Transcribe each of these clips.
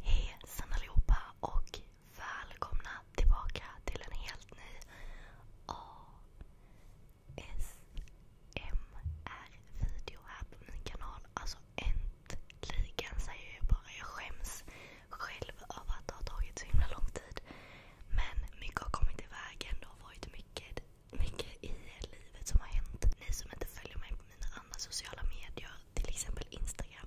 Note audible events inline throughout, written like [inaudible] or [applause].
Hej allihopa och välkomna tillbaka till en helt ny ASMR-video här på min kanal. Alltså äntligen säger jag bara. Jag skäms själv över att det har tagit så himla lång tid. Men mycket har kommit i Det har varit mycket, i livet som har hänt. Ni som inte följer mig på mina andra sociala medier, till exempel Instagram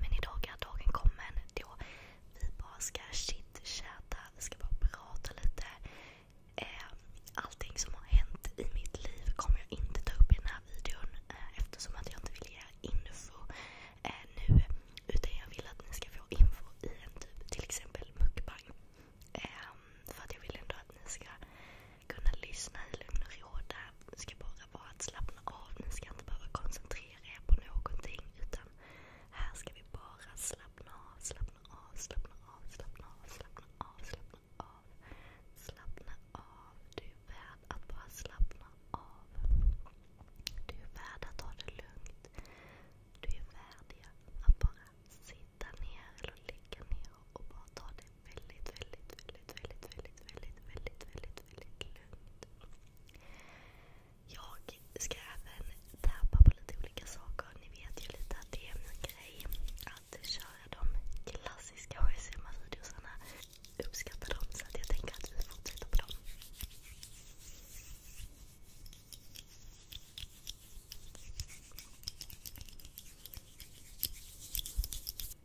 Men idag är dagen kommen då vi bara ska chitchatta. Vi ska bara prata lite. Eh, allting som har hänt i mitt liv kommer jag inte ta upp i den här videon eh, eftersom att jag inte vill ge info eh, nu. Utan jag vill att ni ska få info i en typ till mukbang. för att jag vill ändå att ni ska kunna lyssna i lugn och ro. Det ska bara vara ett slapp ni ska inte behöva koncentrera er på någonting. Utan här ska vi bara slappna av, slappna av, slappna av, slappna av, slappna av, slappna av. Du är värd att bara slappna av. Du är värd att ta det lugnt. Du är värdig att bara sitta ner eller ligga ner och bara ta det väldigt, väldigt, väldigt, väldigt, väldigt, väldigt, väldigt, väldigt, väldigt, väldigt lugnt. Jag ska även tappa på lite olika saker. Ni vet ju lite att det är min grej att köra de klassiska HSMA-videosarna. Uppskattar dem så att jag tänker att vi fortsätter på dem.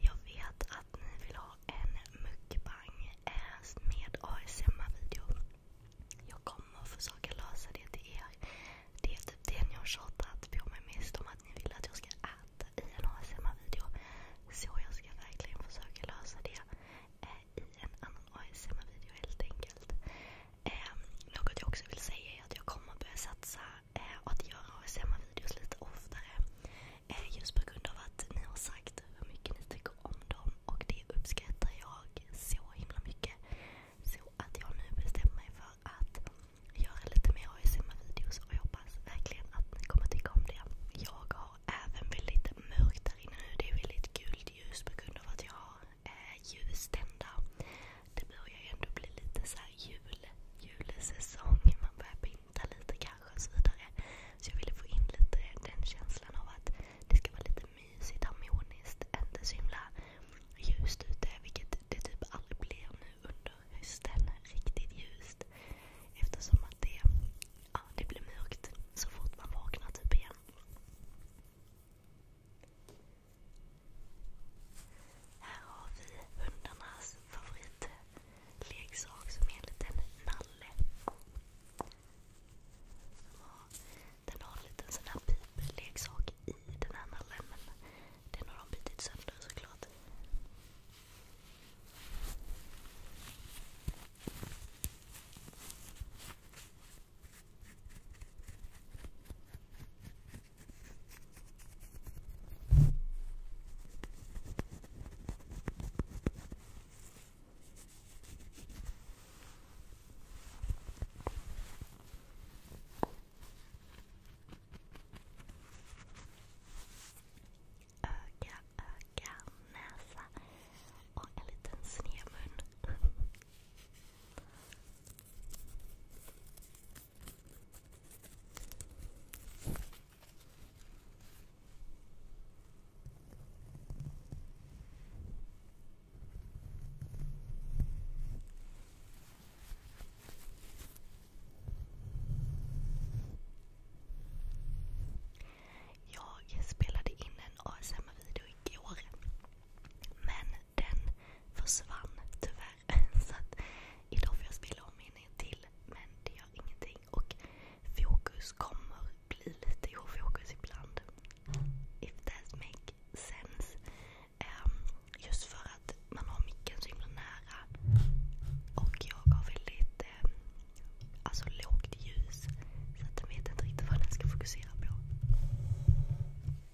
Jag vet att ni vill ha en mukbang eh, med ASMR-video. Jag kommer försöka lösa det till er. Det är typ det ni har tjatat på mig mest om att ni vill att jag ska äta i en ASMR-video. Så jag ska verkligen försöka lösa det eh, i en annan ASMR-video helt enkelt. Ehm, något jag också vill säga är att jag kommer börja satsa eh, och att göra ASMR-videos lite oftare. Eh, just på grund av att ni har sagt hur mycket ni tycker om dem och det uppskattar jag så himla mycket. Så att jag nu bestämmer mig för att göra lite mer ASMR-videos och jag hoppas verkligen att ni kommer tycka om det. Jag har även väldigt mörkt där nu. Det är väldigt gult ljus på grund av att jag har eh, ljusstända det börjar ju ändå bli lite så här jul, julsäsong. Man börjar pynta lite kanske och så vidare. Så jag ville få in lite den känslan av att det ska vara lite mysigt, harmoniskt, inte så himla ljust ute. Vilket det typ aldrig blir nu under hösten. Riktigt ljust. Eftersom att det, ja, det blir mörkt så fort man vaknar typ igen. Här har vi hundarnas favoritleksak som är en liten nalle. Den har en liten sån här pipleksak i den här nallen men den har de bitit sönder såklart. Öga, öga, näsa och en liten snedmun. Jag spelade in en ASMR-video igår. Men den försvann tyvärr [laughs] Så att idag får jag spela om in en till. Men det gör ingenting. Och fokus kommer bli lite ofokus ibland. If that makes sense. Um, just för att man har micken så himla nära. Och jag har väldigt um, alltså lågt ljus. Så att den vet inte riktigt vad den ska fokusera på.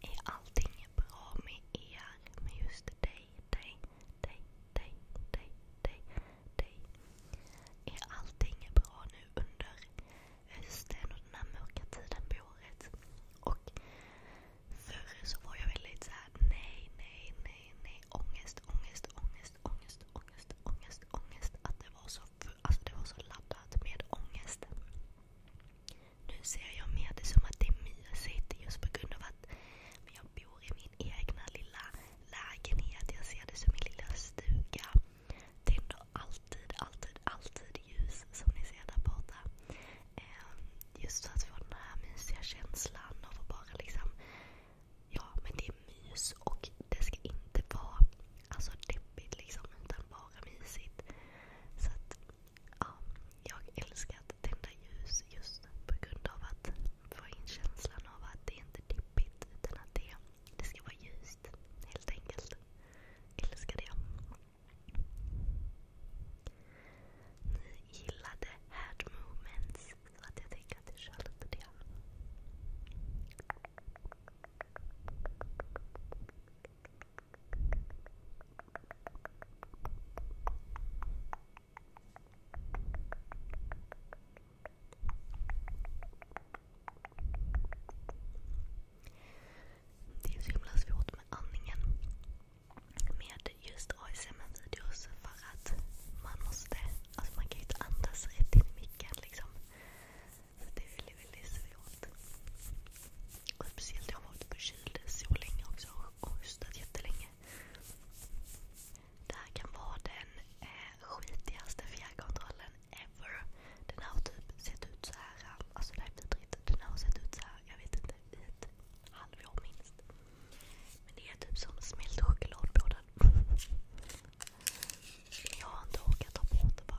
Är allting bra med er? Med just dig, dig, dig, dig, dig, dig, dig? Är allting bra nu under hösten och den mörka tiden på Och förr så var jag väldigt såhär nej, nej, nej, nej. Ångest, ångest, ångest. ångest, ångest, ångest, ångest, Att alltså det var så, laddat med ångest. Nu ser jag mer som att det är mysigt just på grund av att jag bor i min egna lilla lägenhet. Jag ser det som min lilla stuga. Det alltid, alltid, alltid ljus som ni ser där borta. Ehm, just för att få den här mysiga känslan av att bara liksom Ja, men det är mys och det ska inte vara alltså, deppigt liksom, utan bara mysigt. jag älskar att tända ljus just på grund av att få in känslan av att det inte är deppigt utan att det, ska vara ljust helt enkelt. Älskar det. Ni gillade Head Movements så jag tänker att jag kör lite det. Det är så himla svårt med andningen med just ASMR-videos för att man måste Alltså man kan ju inte andas rätt in i micken liksom. Så det är väldigt, väldigt svårt. Och speciellt jag har varit förkyld så länge också och hostat jättelänge. Det här kan vara den eh, skitigaste fjärrkontrollen ever. Den har typ sett ut så här. Alltså det här är vidrigt. Den har sett ut så här, jag vet inte, i ett halvår minst. Men det är typ som smält choklad på den. [laughs] Men jag har inte orkat ta på det bara.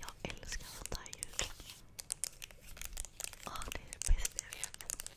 Jag älskar sånt här ljud. det är det bästa jag vet.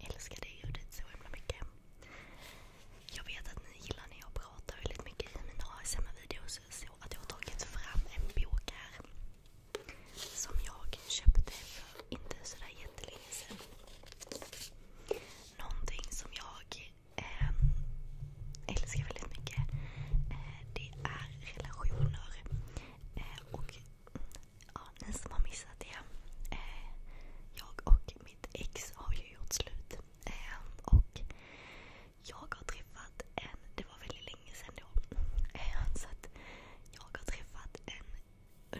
älskar det ljudet så himla mycket. Jag vet att ni gillar när jag pratar väldigt mycket i mina ASMR-videos så att jag har tagit fram en bok här. Som jag köpte för inte sådär jättelänge sedan. Någonting som jag ehm, älskar väldigt mycket eh, det är relationer. Eh, och ja, ni som har missat det. Eh, jag och mitt ex har ju gjort slut. Och jag har träffat en, det var väldigt länge sedan då, eh, jag har träffat en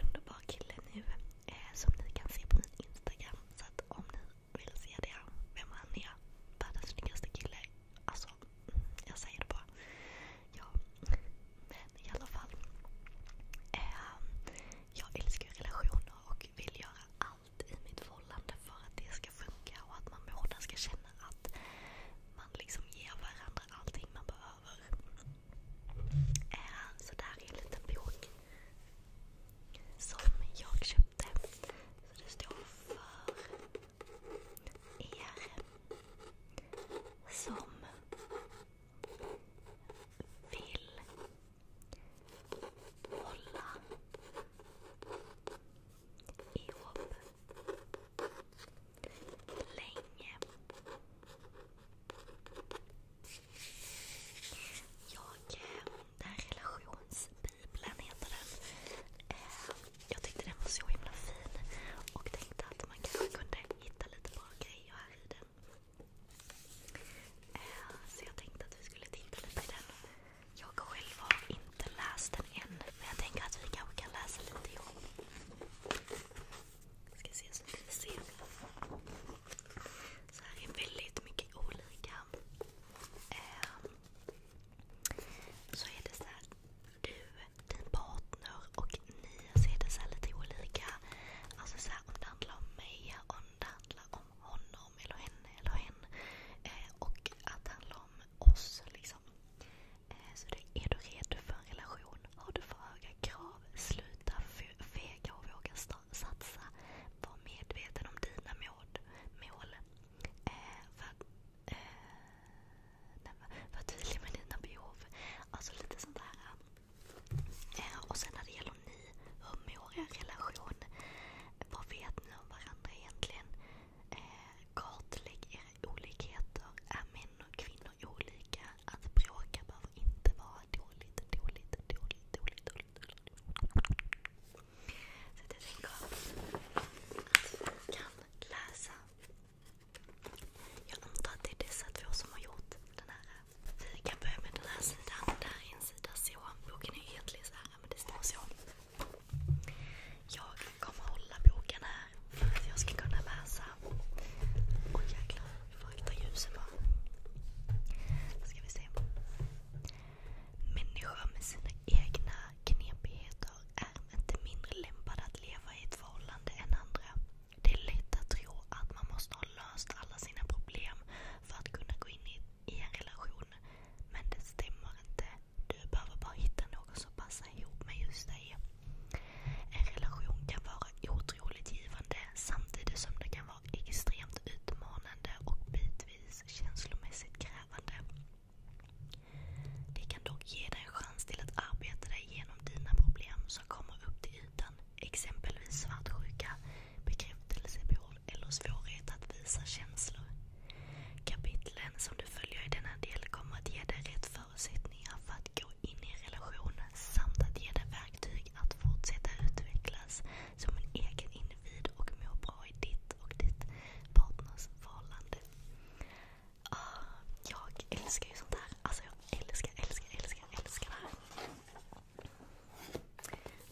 underbar kille nu eh, som ni kan se på min Instagram. Så om ni vill se det, vem han är, världens snyggaste kille. Alltså, mm, jag säger det bara. Ja, men i alla fall. Eh, jag älskar relationer och vill göra allt allt i mitt förhållande för att det ska funka och att man båda ska känna att man liksom ger varandra allting man behöver. Äh, så där är en liten bok som jag köpte. Så det står för er som vill hålla ihop länge. Jag, eh, den här relationsbibeln heter den. Eh, jag tyckte den var så himla fin och tänkte att man kanske kunde hitta lite bra grejer här i den. Eh, så jag tänkte att vi skulle titta lite i den. Jag själv har inte läst den än, men jag tänker att vi kanske kan läsa lite ihop. ska se så ni ser. Så här är väldigt mycket olika. Eh, så är det så du, din partner och ni, så är det så lite olika. Alltså så om det handlar om mig, och om det handlar om honom eller henne eller hen. Eh, och att handla om oss. Liksom. Eh, så är du redo för en relation? Har du för höga krav? Sluta fega och våga satsa. Var medveten om dina mål. Eh, var, tydlig med dina behov. Alltså lite sånt där. och sen när det gäller har ni? Hur er relation? Vad vet ni om varandra egentligen? kartlägg eh, era olikheter. Är män och kvinnor olika? Att bråka behöver inte vara dåligt, dåligt, dåligt. dåligt. Så jag tänker att vi kan läsa. Jag antar att det är dessa två som har gjort den här eh, vi kan börja med den här sidan. Boken är egentligen så här men det står så. Jag kommer hålla boken här för att jag ska kunna läsa. Oj jäklar, hur fakta ljusen var. Då ska vi se. Människor med sina egna knepigheter är inte mindre lämpade att leva i ett förhållande än andra. Det är lätt att tro att man måste ha löst alla sina problem för att kunna gå in i, en relation. Men det stämmer inte. Du behöver bara hitta någon som passar ihop med just dig. En relation kan vara otroligt givande samtidigt som det kan vara extremt utmanande och bitvis känslomässigt krävande. Det kan dock ge dig en chans till att arbeta dig igenom dina problem som kommer upp till ytan exempelvis svartsjuka, bekräftelsebehov eller svårighet att visa känslor. Kapitlen som du följer i denna del kommer att ge dig rätt förutsättningar för att gå in i relationen samt att ge dig verktyg att fortsätta utvecklas som en egen individ och må bra i ditt och ditt partners förhållande. Ah, jag älskar ju sånt här. Alltså jag älskar, älskar, älskar, älskar det här.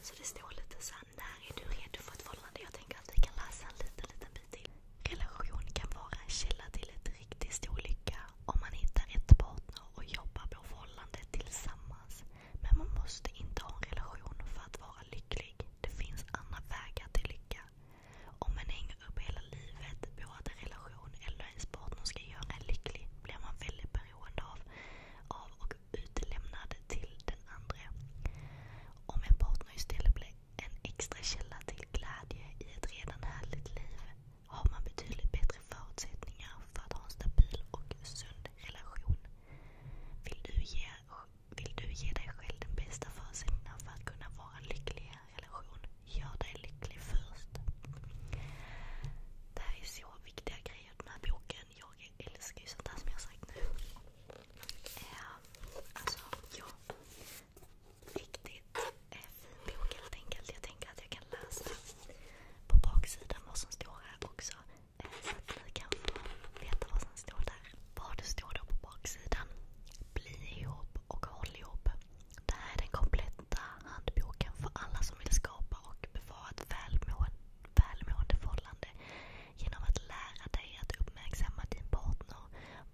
Så det står lite så här, när är du redo för ett förhållande? Jag tänker att vi kan läsa en liten, liten bit till. Relation kan vara en källa till ett riktigt stor lycka om man hittar rätt partner och jobbar på förhållandet tillsammans. Men man måste inte ha en relation för att vara lycklig. Det finns andra vägar till lycka. Om man hänger upp hela livet på att en relation eller ens partner ska göra en lycklig blir man väldigt beroende av, av och utlämnad till den andra. Om en partner istället blir en extra källa till glädje i ett redan härligt liv har man betydligt bättre förutsättningar för att ha en stabil och sund relation. Vill du ge, dig själv den bästa förutsättningen för att kunna vara en relation, gör dig lycklig först. Det här är så viktiga grejer i den här boken jag älskar ju sånt där som jag har sagt nu. Ehm, alltså, ja. Riktigt fin bok helt enkelt. Jag tänker att jag kan läsa på baksidan vad som står här också. så ehm, att ni kan veta vad som står där. Vad det står då på baksidan. Bli ihop och håll ihop. Det här är den kompletta handboken för alla som vill skapa och bevara ett välmående, förhållande genom att lära dig att uppmärksamma din partner,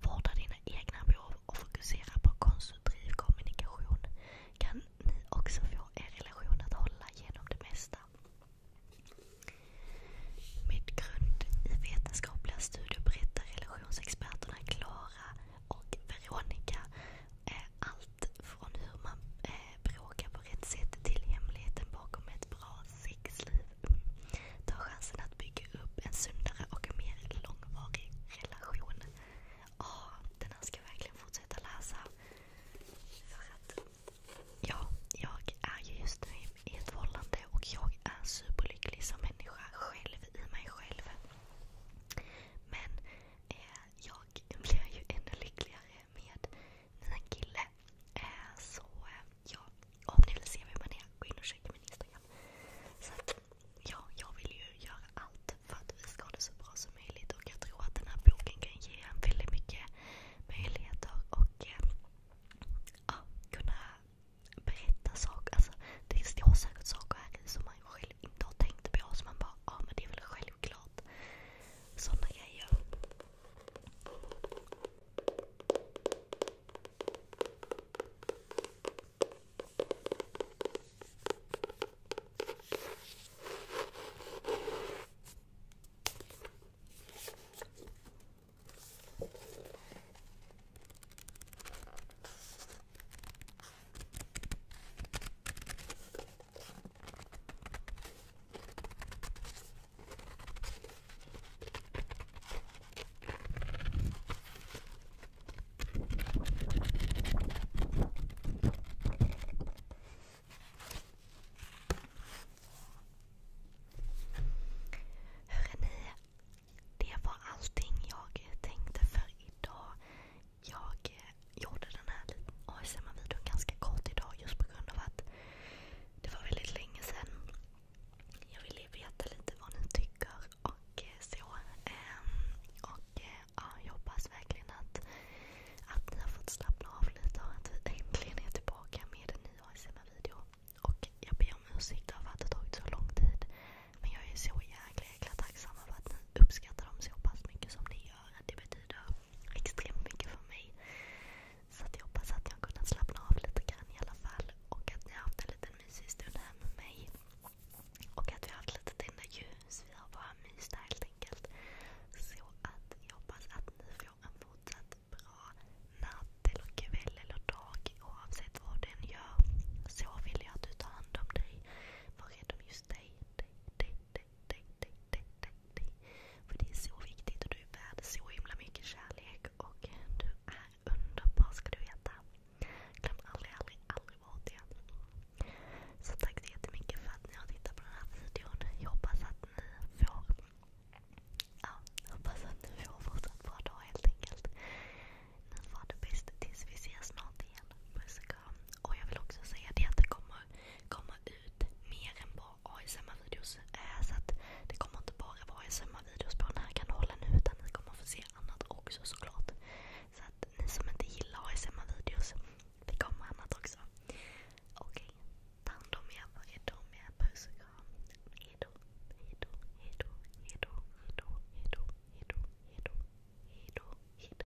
vårda dina egna behov och fokusera på konstruktiv kommunikation kan ni också få er relation att hålla genom det mesta. Med grund i vetenskapliga studier berättar relationsexperterna Klara och Veronica eh, allt allt från hur man eh, bråkar på rätt sätt till hemligheten bakom ett bra sexliv. Ta chansen att bygga upp en sundare och mer långvarig relation. den här ska jag verkligen fortsätta läsa. För att ja, jag är ju just nu i ett förhållande och jag är superlycklig som människa själv i mig själv. Men eh, jag blir ju ännu lyckligare med mina kille. Eh, så eh, ja, om ni vill se vem man är, gå in och kika min Instagram. Så att, ja, jag vill ju göra allt för att vi ska ha det så bra som möjligt och jag tror att den här boken kan ge en väldigt mycket möjligheter och eh, ja, kunna berätta saker. Alltså, det står säkert saker här i som man själv inte har tänkt på. Som man bara, ja ah, men det är väl självklart. Såna grejer. Hörrni, det var allting jag tänkte för idag jag eh, gjorde den här ASMR-videon ganska kort idag just på grund av att det var väldigt länge sedan. Jag ville veta lite vad ni tycker och eh, så. Ehm, och eh, ja, jag hoppas verkligen att, ni har fått slappna av lite och att vi äntligen är tillbaka med en ny ASMR-video. Och jag ber om ursäkt över att det tagit så lång tid. Men jag är så jäkla, jäkla tacksam över att ni uppskattar dem så pass mycket som ni gör. Det betyder extremt mycket för mig. Så jag hoppas att ni har kunnat slappna av lite grann i alla fall. Och att ni har haft en liten mysig stund här med mig. Och att vi har haft lite tända ljus. Vi har bara myst där helt enkelt. Så att jag hoppas att ni får en fortsatt bra natt eller kväll eller dag. Oavsett vad den gör. Så vill jag att du tar hand om dig. Var rädd om just dig, för det är så viktigt och du är värd så himla mycket kärlek. Och du är underbar ska du veta. Glöm aldrig, aldrig, aldrig bort det. Så tack så jättemycket för att ni har tittat på den här videon. Jag hoppas att ni får Ja, hoppas att ni får fortsatt bra dag helt enkelt. Ni får det bäst tills vi ses snart igen. Puss och kram. Och jag vill också säga det att det kommer kommer komma ut mer än bara ASMR-videos. Så att det kommer inte bara vara ASMR-videos på den här kanalen nu utan ni kommer få se annat också såklart. Så att ni som inte gillar ASMR-videos, det kommer annat också. Okej, ta hand om er. Hejdå med er. Puss och kram. Hejdå, hejdå, hejdå, hejdå, hejdå, hejdå, hejdå, hejdå, hejdå, hejdå.